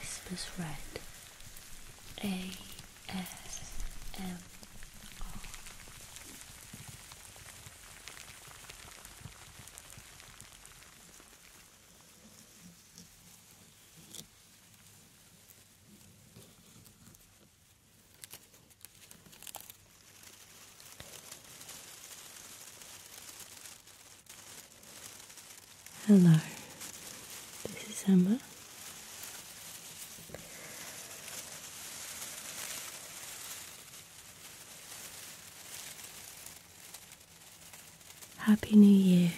This is red. A S M R. Hello, this is Emma. Happy New Year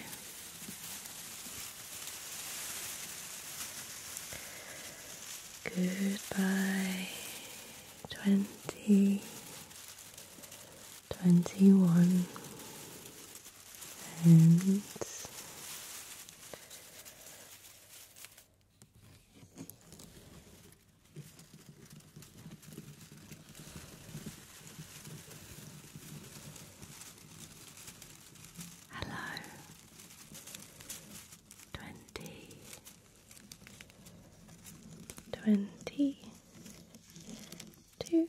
Goodbye, twenty, twenty one, and hello twenty, twenty two.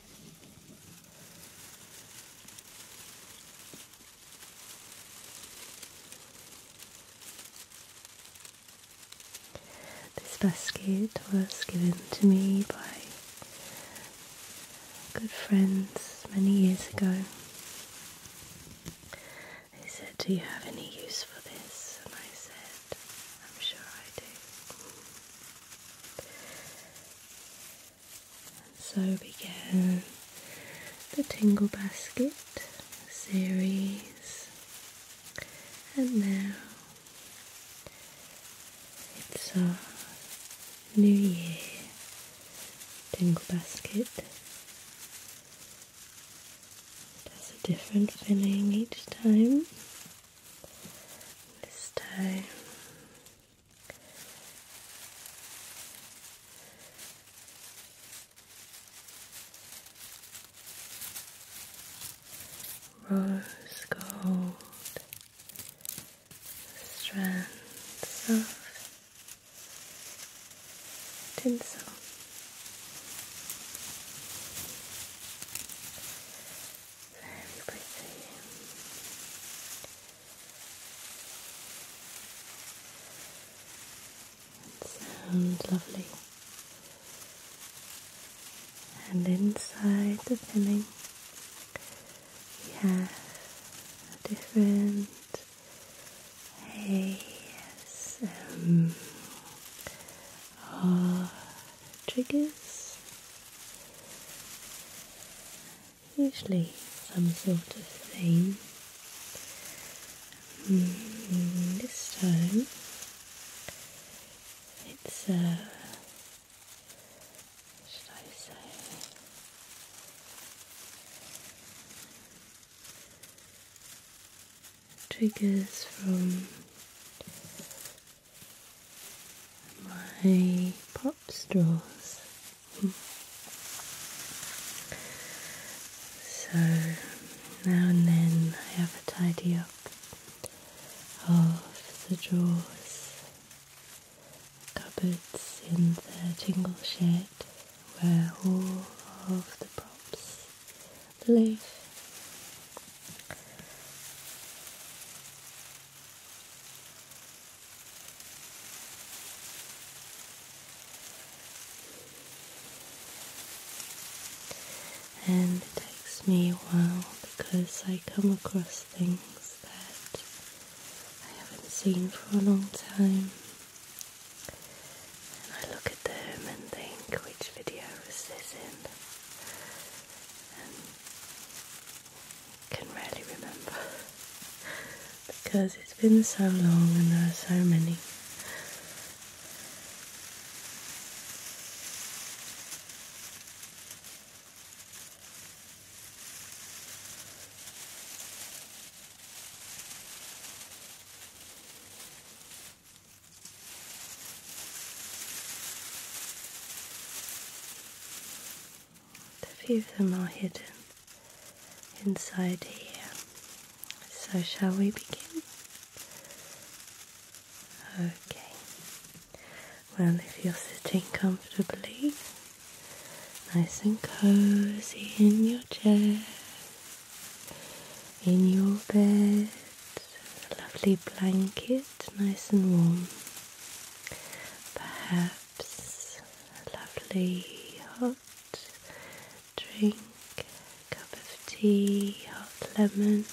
This basket was given to me by good friends many years ago. They said, Do you have any use for this? And I said, I'm sure I do. So began the Tingle Basket series, and now it's our New Year Tingle Basket. It a different filling each time. This time Rose gold strands of tinsel. Very Sounds lovely. And inside the filling, we have a different ASM or triggers usually some sort of thing. Hmm, this time it's a uh, should I say triggers from my pop straws. so now and then I have a tidy up of the drawers, cupboards in the tingle shed where all of the props live. And it takes me a while because I come across things that I haven't seen for a long time. And I look at them and think, which video was this in? can rarely remember because it's been so long and there are so many a few of them are hidden inside here. So, shall we begin? Okay. Well, if you're sitting comfortably, nice and cozy in your chair, in your bed, lovely blanket, nice and warm. Perhaps lovely hot drink, cup of tea, hot lemon.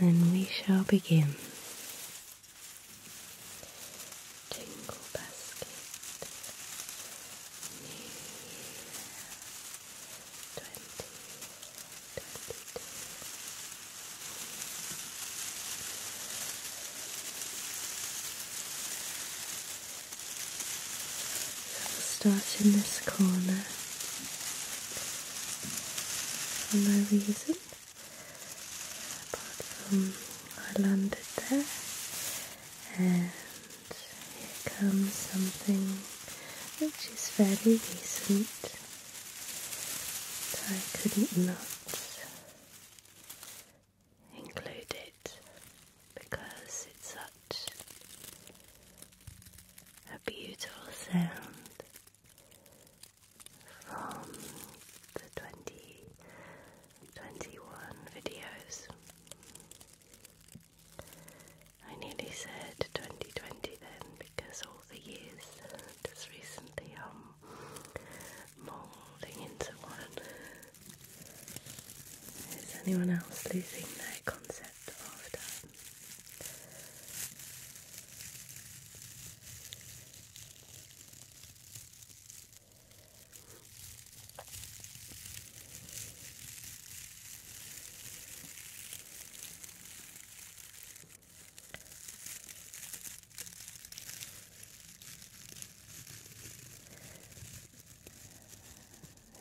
And then we shall begin. Tingle basket. New Twenty. So I'll start in this corner for no reason, apart from I landed there, and here comes something which is fairly recent. I couldn't include it because it's such a beautiful sound from the 2021 videos. I nearly said 2020 then because all the years just recently are um, moulding into one. Is anyone else losing their concept of time?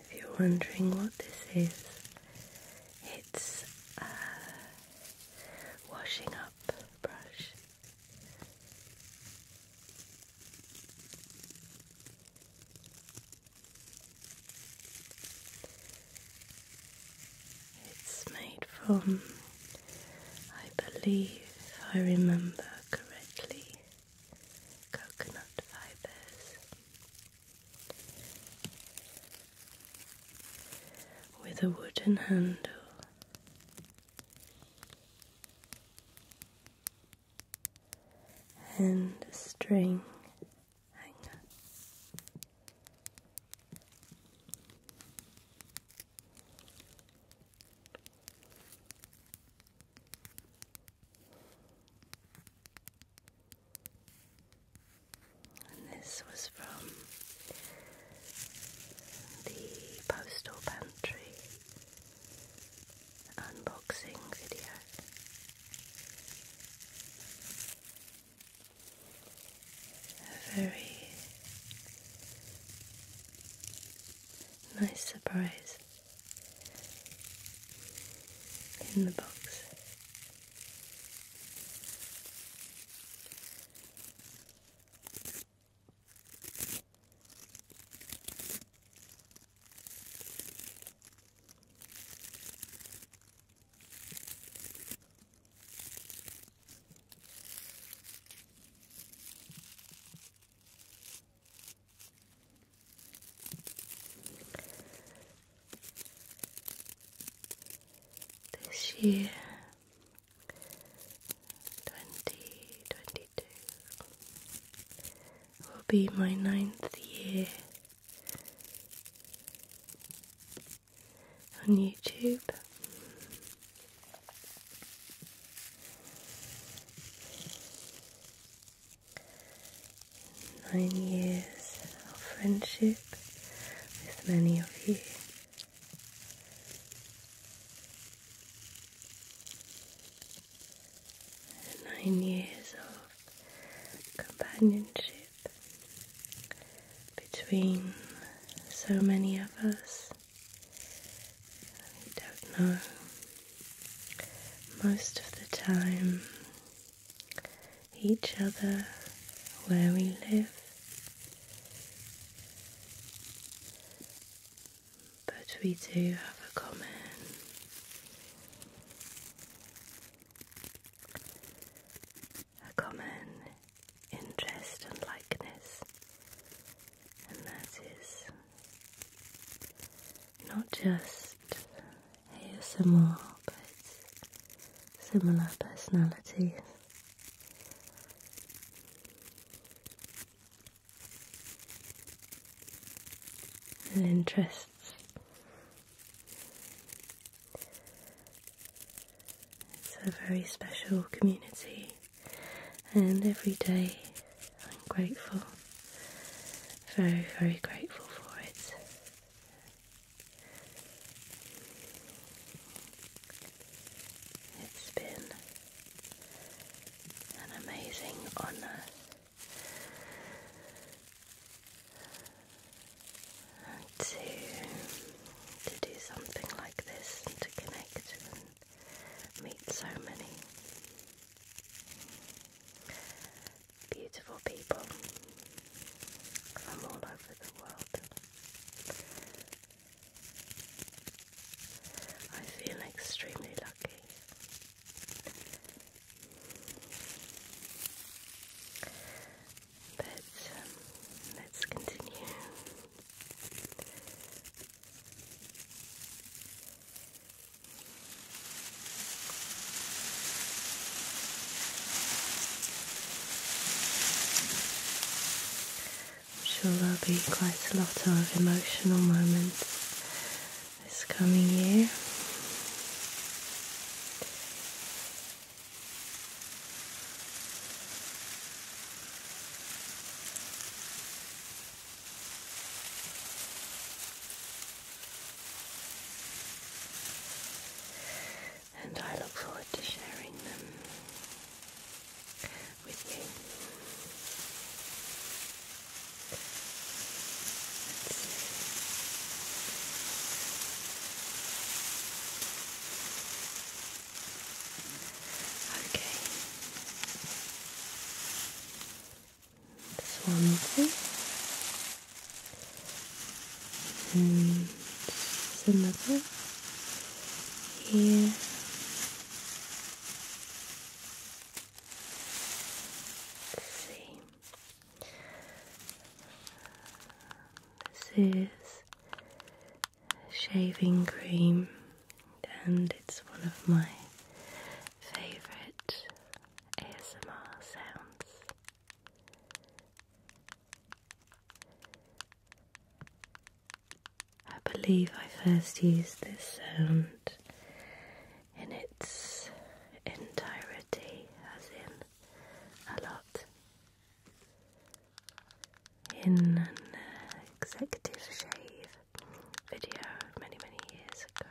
If you're wondering what this is, it's a washing up brush. It's made from, I believe, if I remember correctly, coconut fibers with a wooden handle. And a string hang on. this was from the Postal Pantry unboxing video a very nice surprise in the box. This year, 2022, will be my ninth year on YouTube. Nine years of friendship with many of you. Nine years of companionship between so many of us. I don't know. Most of the time, each other where we live. But we do have a common a common interest and likeness, and that is not just ASMR but similar personalities. And interests it's a very special community, and every day I'm grateful, very, very grateful for it. It's been an amazing honour to to do something like this and to connect and meet so many beautiful people from all over the world. I feel extremely lucky. But um, let's continue. I'm sure there'll be quite a lot of emotional moments this coming year. And I look forward to sharing them with you. Okay. Swansea. And similar here. let this is shaving cream, and it's one of my favorite ASMR sounds. I believe I first used this sound in its entirety, as in a lot in an executive shave video many, many years ago.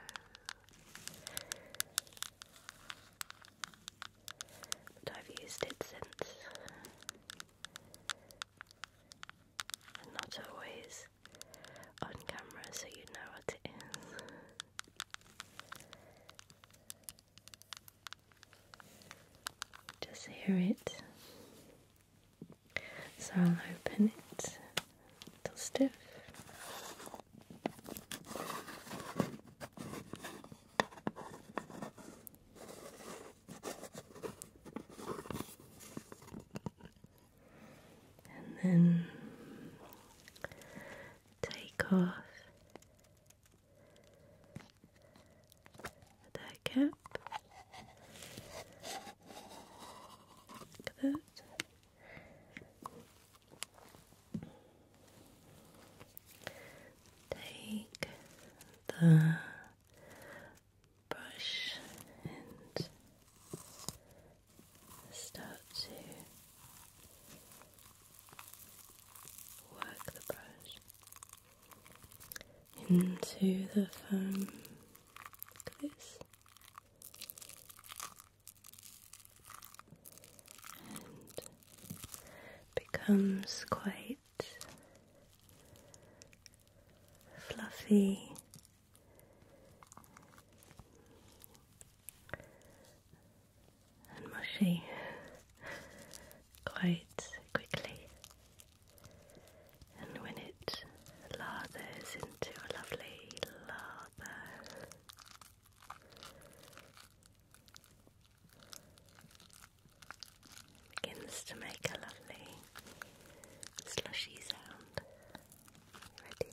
But I've used it since. And not always on camera, so you know what it is. Just hear it. So I'll open it Little stiff. And then take off that cap. Look Take the brush and start to Work the brush into the foam. Look this. And becomes quite fluffy and mushy quite quickly. And when it lathers into a lovely lather, begins to make a lovely slushy sound. Ready?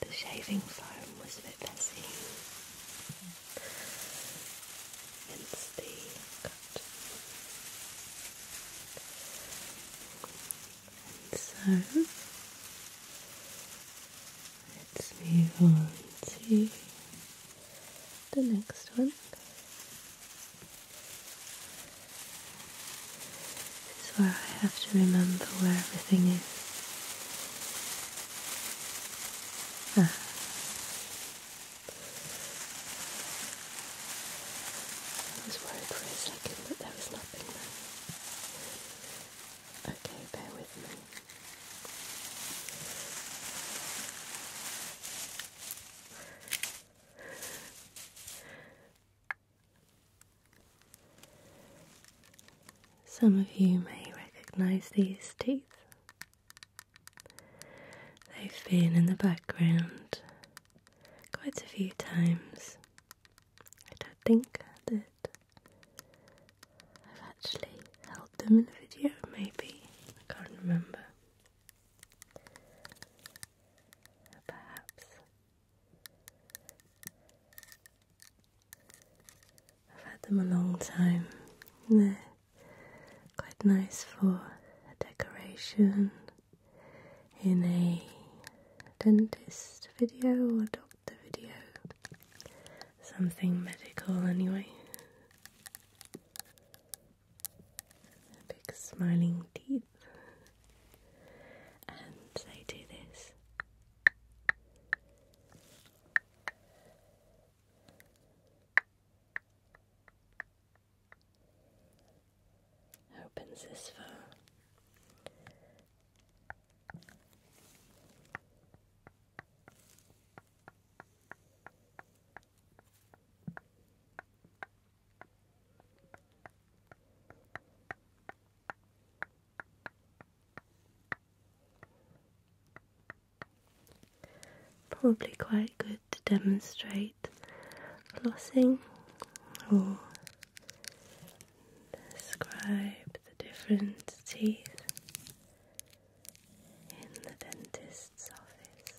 The shaving foam was a bit messy, hence the so let's move on to the next one. This is where I have to remember where everything is. Ah. I was worried for a second that there was nothing there. Okay, bear with me. Some of you may recognize these teeth. They've been in the background quite a few times. I don't think I did. I've actually held them in a video, maybe. I can't remember. Perhaps I've had them a long time. they Quite nice for a decoration in a dentist video or doctor video. Something medical, anyway. Big smiling teeth. And they do this opens this phone. Probably quite good to demonstrate flossing or describe the different teeth in the dentist's office.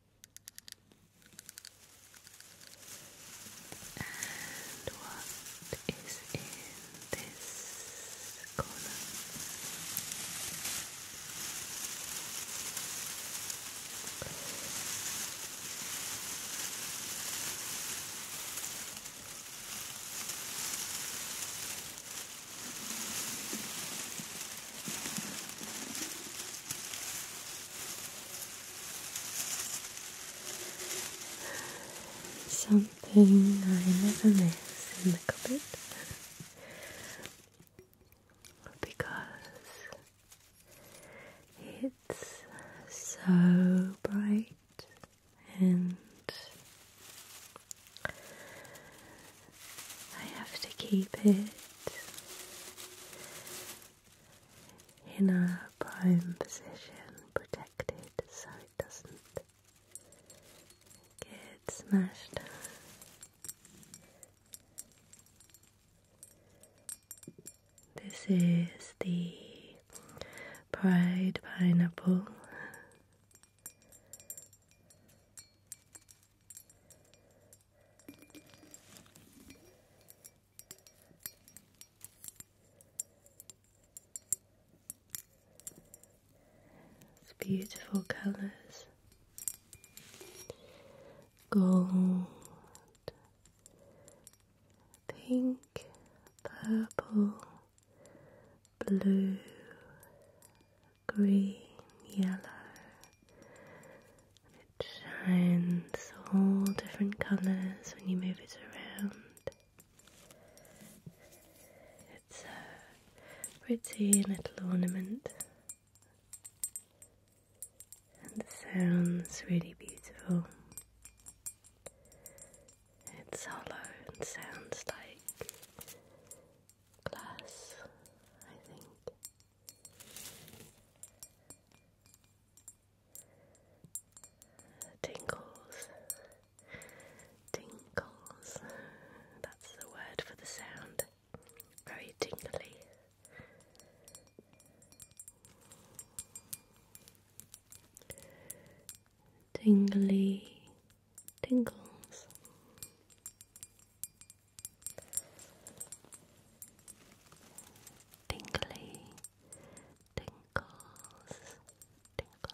And what is in this corner? Something I never miss in the cupboard because it's so bright and I have to keep it in a prime position, protected so it doesn't get smashed. This is the Pride Pineapple. It's beautiful colours. Gold, pink, purple, blue, green, yellow, it shines all different colours when you move it around. It's a pretty little ornament, and it sounds really beautiful. It's hollow and sounds like glass, I think. Tingles. Tingles. That's the word for the sound. Very tingly. Tingly tingles. Tingly tinkles, tingles, tingles.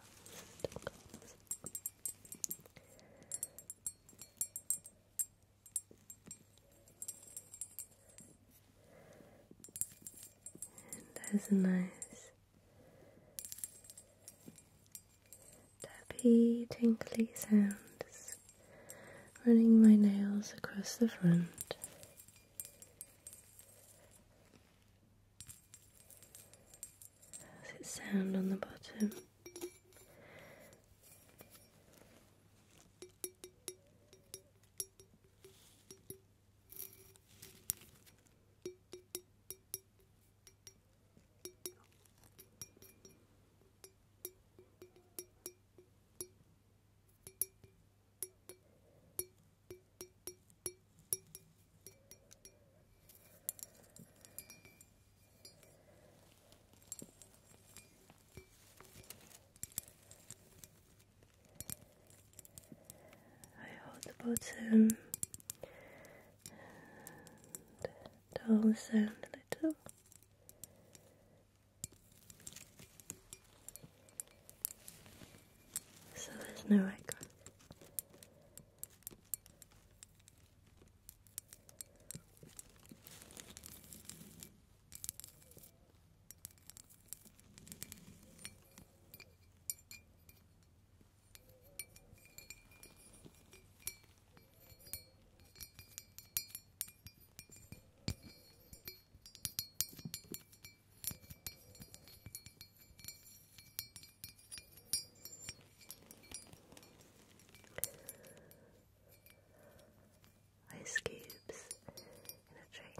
And nice tappy, tingly sounds running my nails across the front. How's it sound on the bottom? I hold the bottom and down the a little. So there's no echo. Ice cubes in a drink.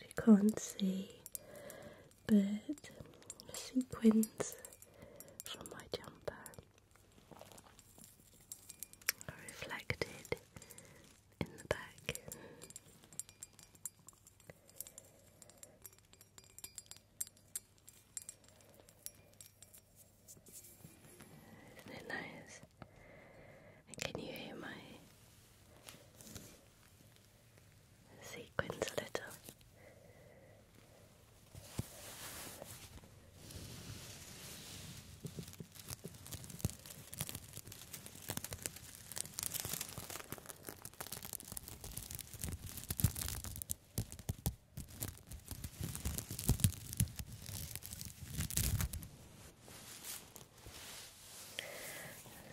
You can't see, but the sequins from my jumper are reflected in the back. Isn't it nice? can you hear my sequins a little?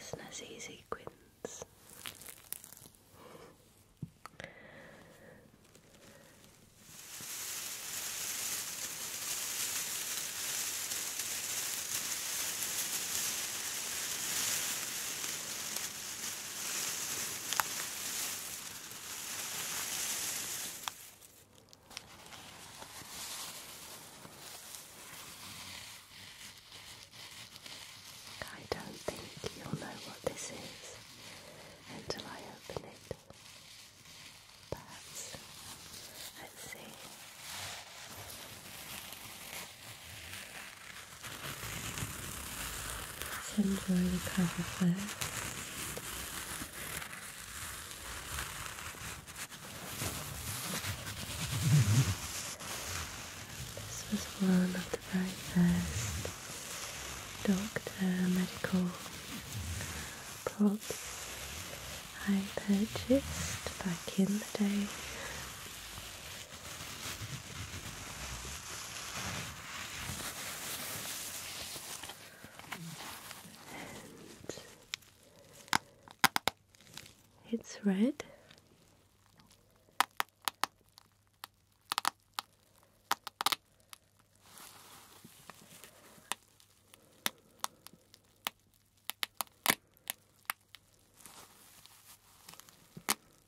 Snazzy sequins. I don't think you'll know what this is until I open it. Perhaps. Let's see. Let's enjoy the cover first. This was one of the very first doctor medical props I purchased back in the day. And it's red.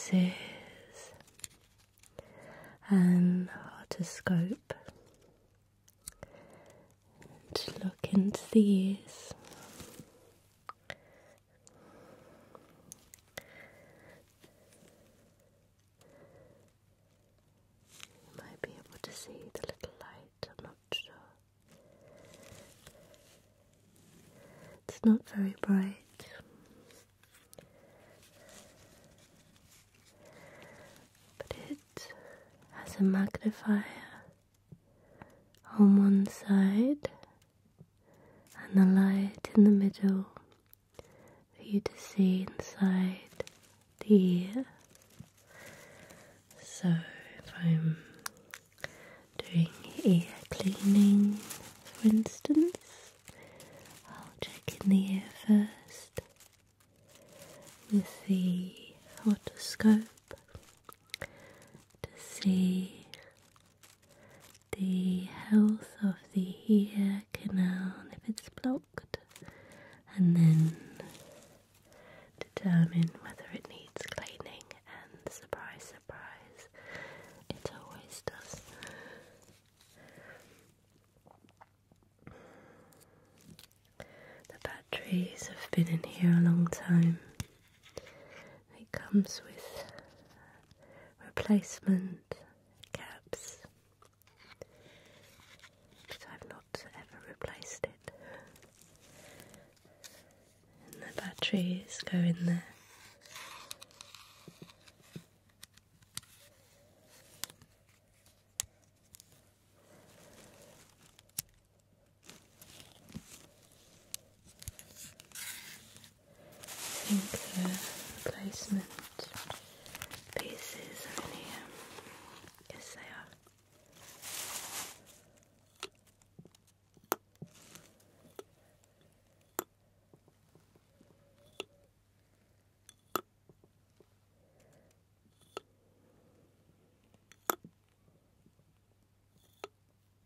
This is an otoscope to look into the ears might be able to see the little light, I'm not sure. It's not very bright. But it has a magnifier on one side and the light in the middle for you to see inside the ear. So, if I'm doing ear cleaning, for instance, I'll check in the ear first with the otoscope to see the health of the ear canal if it's blocked, and then determine whether it needs cleaning. And surprise, surprise, it always does. The batteries have been in here a long time. It comes with replacement caps. I've not ever replaced it. the batteries go in there. I think the placement pieces are in here. Yes, they are.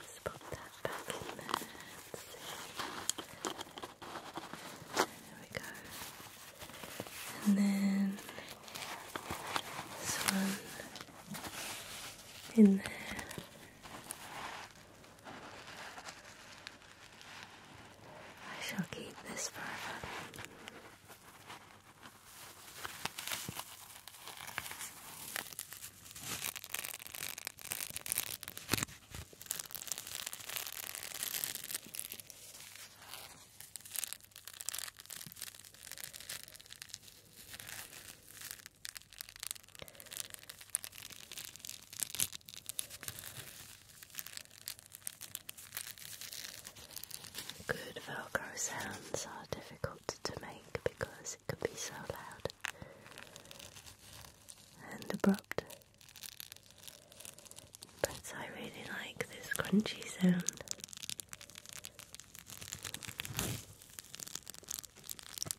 Let's put that back in there There we go. And then this one in there. I shall keep this forever. Good Velcro sounds are difficult to make because it can be so loud and abrupt. But I really like this crunchy sound.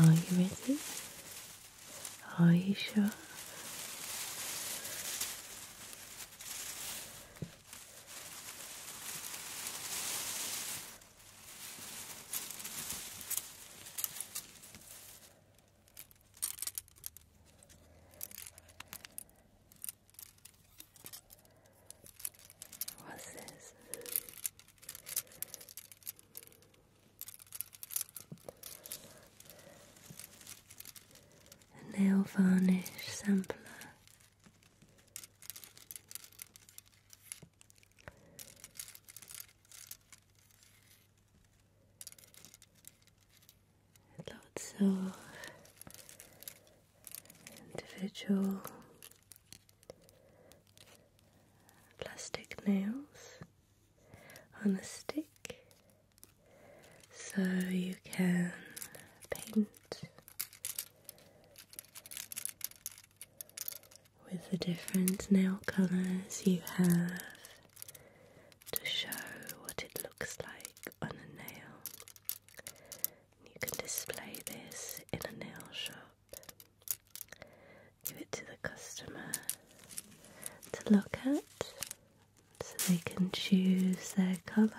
Are you ready? Are you sure? What's this? A nail varnish sampler. Lots of individual plastic nails on a stick so you can paint with the different nail colours you have to show what it looks like on a nail. You can display this in a nail shop give it to the customer to look at so they can choose their colour.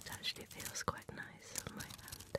It actually feels quite nice on my hand.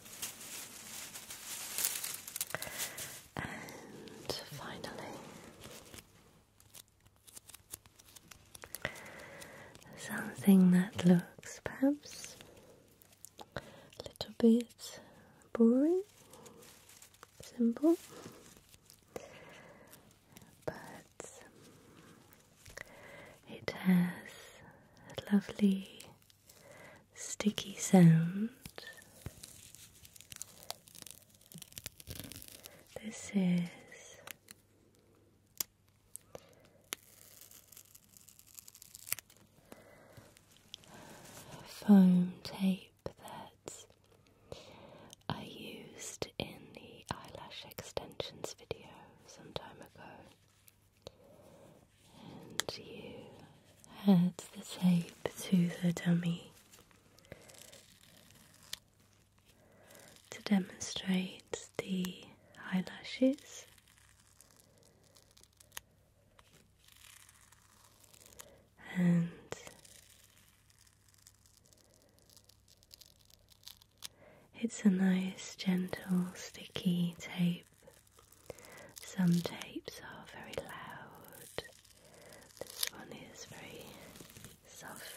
And finally, something that looks perhaps a little bit boring, simple, but it has lovely sticky sound. This is foam tape that I used in the eyelash extensions video some time ago and you add the tape to the dummy to demonstrate the eyelashes. And it's a nice, gentle, sticky tape some tapes are very loud. This one is very soft.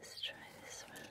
Let's try this one.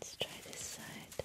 Let's try this side.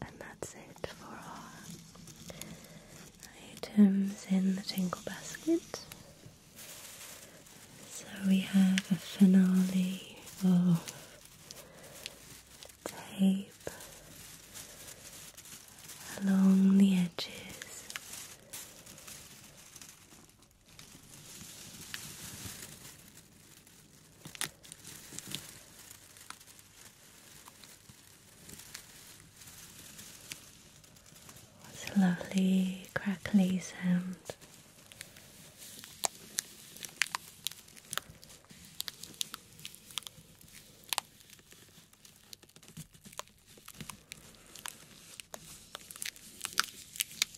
And that's it for our items in the tingle basket. So we have a finale of tape along the edges it's a lovely crackly sound.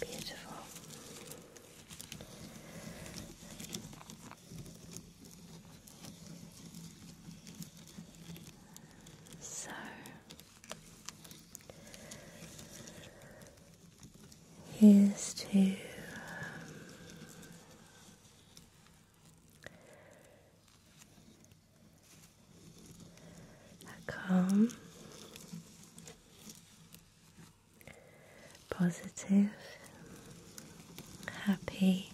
Beautiful. So here's two. Um, a positive, happy,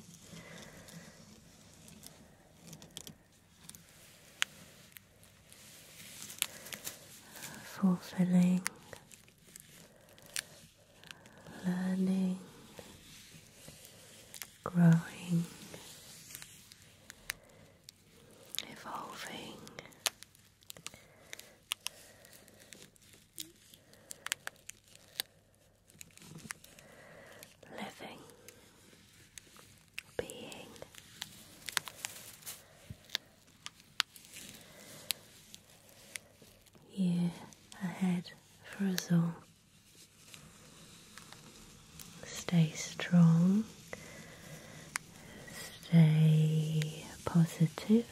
fulfilling learning, growing, evolving. Living, being, you ahead for us all. Stay strong, stay positive.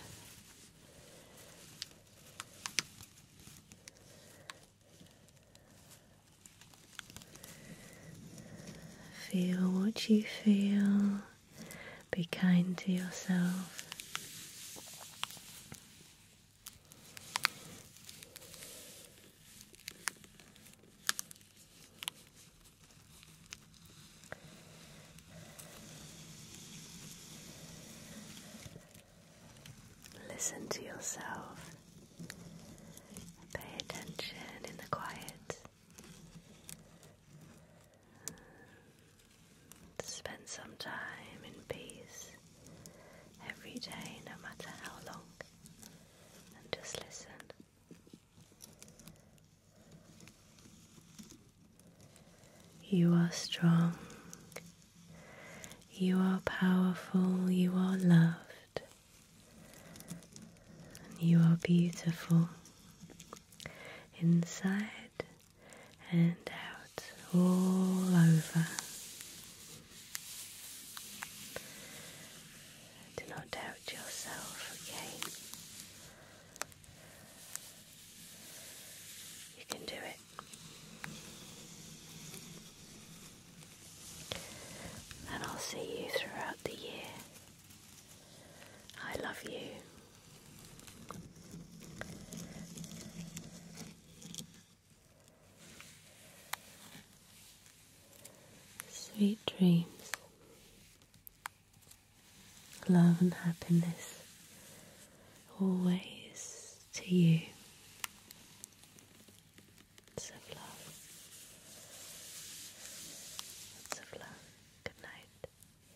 Feel what you feel, be kind to yourself. Listen to yourself. Pay attention in the quiet. Spend some time in peace every day, no matter how long, and just listen. You are strong, you are powerful, you are loved, and you are beautiful inside and out all over. Do not doubt yourself, okay? You can do it. And I'll see you throughout the year. I love you. Sweet dreams, love and happiness always to you. Lots of love. Lots of love. Good night.